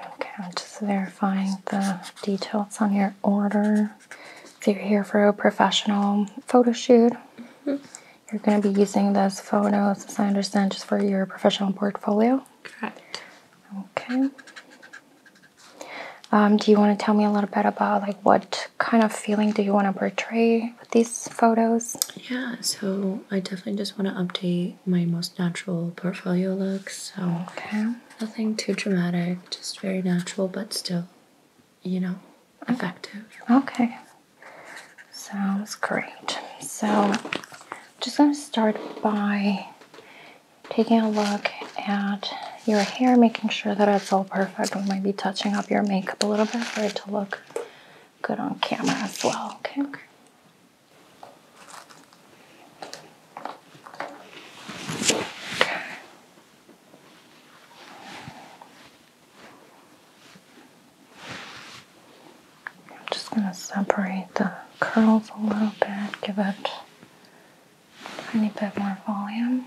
Okay, I'm just verifying the details on your order. So you're here for a professional photo shoot. Mm-hmm. You're going to be using those photos, as I understand, just for your professional portfolio. Correct. Okay. Um, do you want to tell me a little bit about like what kind of feeling do you want to portray with these photos? Yeah, so I definitely just want to update my most natural portfolio look. So nothing too dramatic, just very natural, but still, you know, effective. Okay, sounds great. So just gonna start by taking a look at your hair, making sure that it's all perfect. We might be touching up your makeup a little bit for it to look good on camera as well. okay. I'm just going to separate the curls a little bit, give it a tiny bit more volume.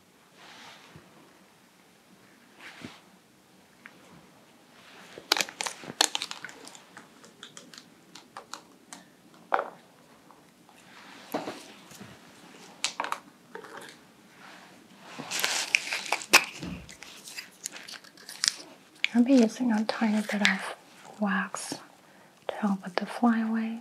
I'll be using a tiny bit of wax to help with the flyaways.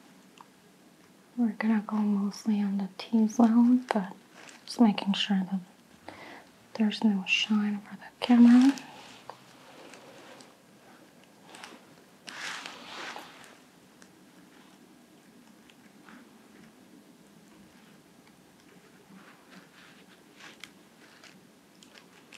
We're gonna go mostly on the T-zone, but just making sure that there's no shine for the camera.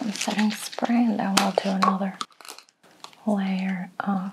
I'm setting spray and then we'll do another layer of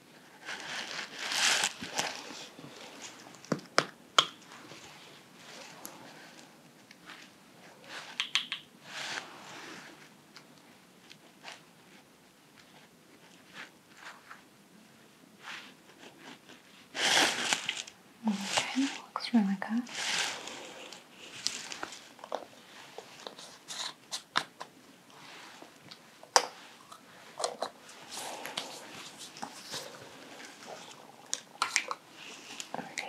Okay, looks really good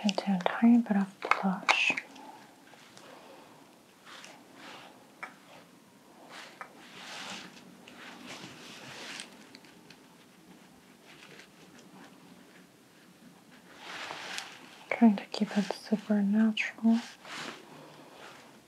do a tiny bit of blush. Trying to keep it super natural.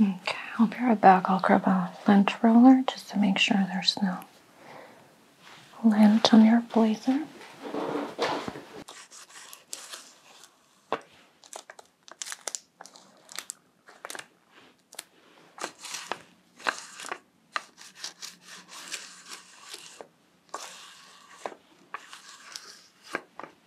Okay, I'll be right back. I'll grab a lint roller just to make sure there's no lint on your blazer.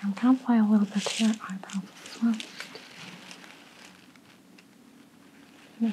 Okay, I'm gonna apply a little bit to your eyebrows as well. No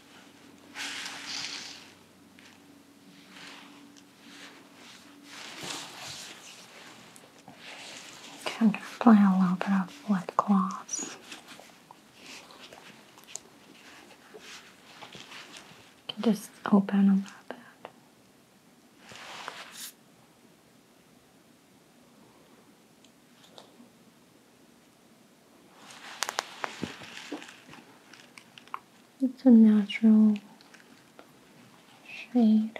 Okay, I'm going to apply a little bit of wet gloss. You can just open a little bit. It's a natural shade.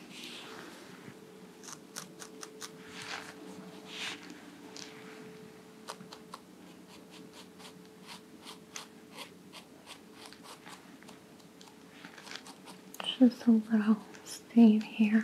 Just a little stain here.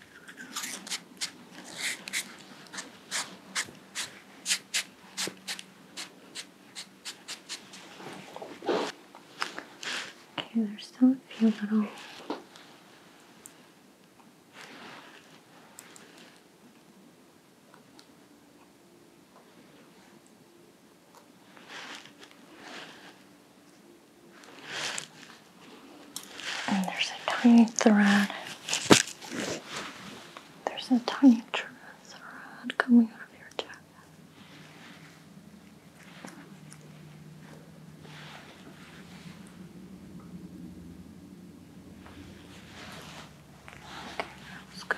Okay, there's still a few little and there's a tiny thread. There's a tiny thread coming out of your jacket. Okay, that's good.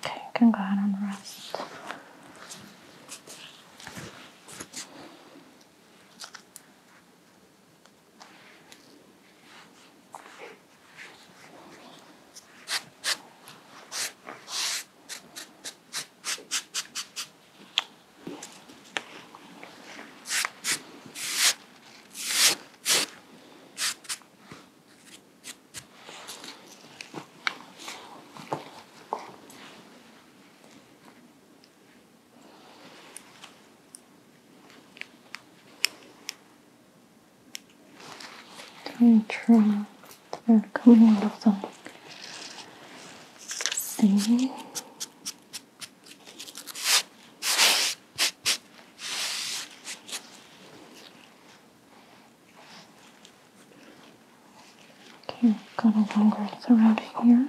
Okay, you can go ahead and rest. Trauma are coming out of them. Okay, I've got a longer around here.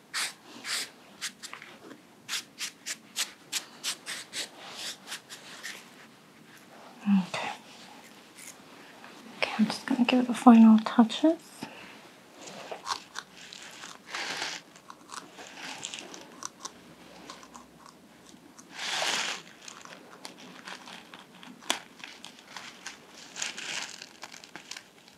Okay. Okay, I'm just going to give it a final touches.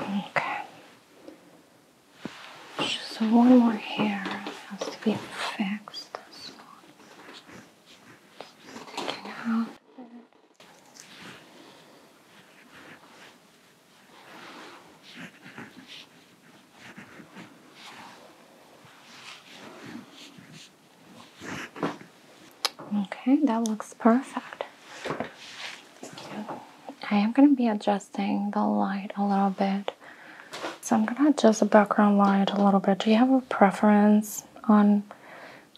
Okay. So one more hair has to be fixed. Okay, that looks perfect. I am going to be adjusting the light a little bit so I'm gonna adjust the background light a little bit. Do you have a preference on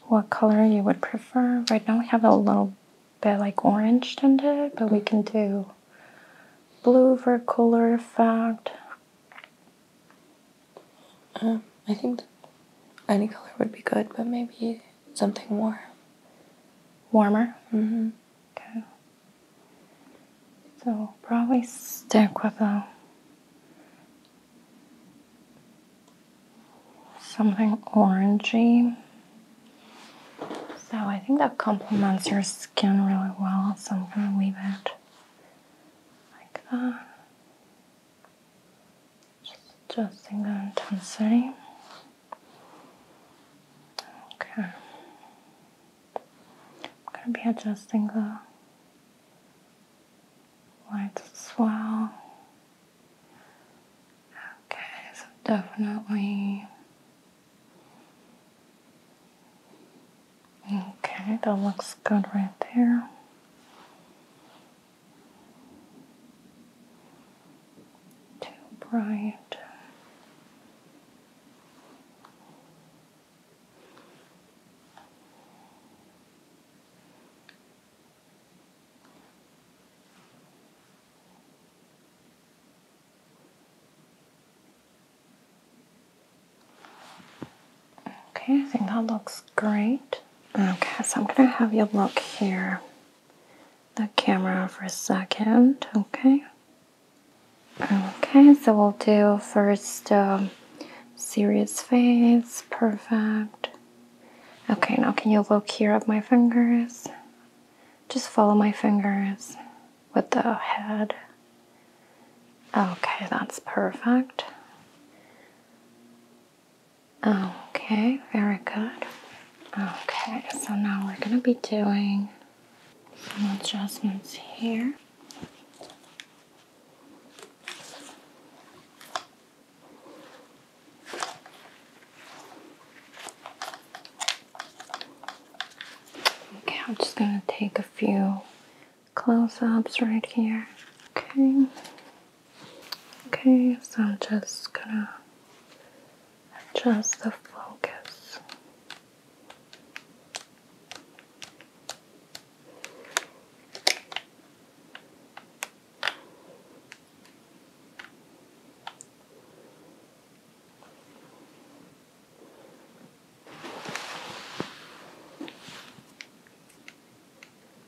what color you would prefer? Right now we have a little bit like orange tinted, but we can do blue for color effect. Uh, I think any color would be good, but maybe something more warmer. Mm -hmm. Okay. So probably stick with a uh, something orangey. So I think that complements your skin really well. So I'm gonna leave it like that. Just adjusting the intensity. Okay. I'm gonna be adjusting the White as well. Okay, so definitely. Okay, that looks good right there. Too bright. Okay, I think that looks great. Okay, so I'm gonna have you look here the camera for a second, okay? Okay, so we'll do first um, serious face, perfect. Okay, now can you look here at my fingers? Just follow my fingers with the head. Okay, that's perfect. Okay, very good. Okay, so now we're gonna be doing some adjustments here. Okay, I'm just gonna take a few close ups right here. Okay, okay, so I'm just gonna adjust the focus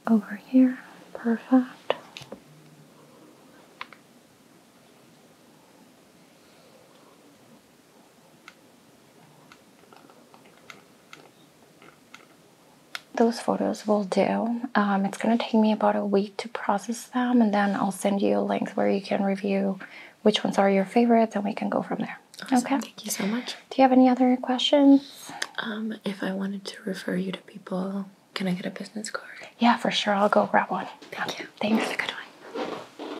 over here. Perfect those photos will do. Um, it's going to take me about a week to process them, and then I'll send you a link where you can review which ones are your favorites, and we can go from there. Okay. Thank you so much. Do you have any other questions? Um, if I wanted to refer you to people, can I get a business card? Yeah, for sure. I'll go grab one. Thank you. Thanks. That's a good one.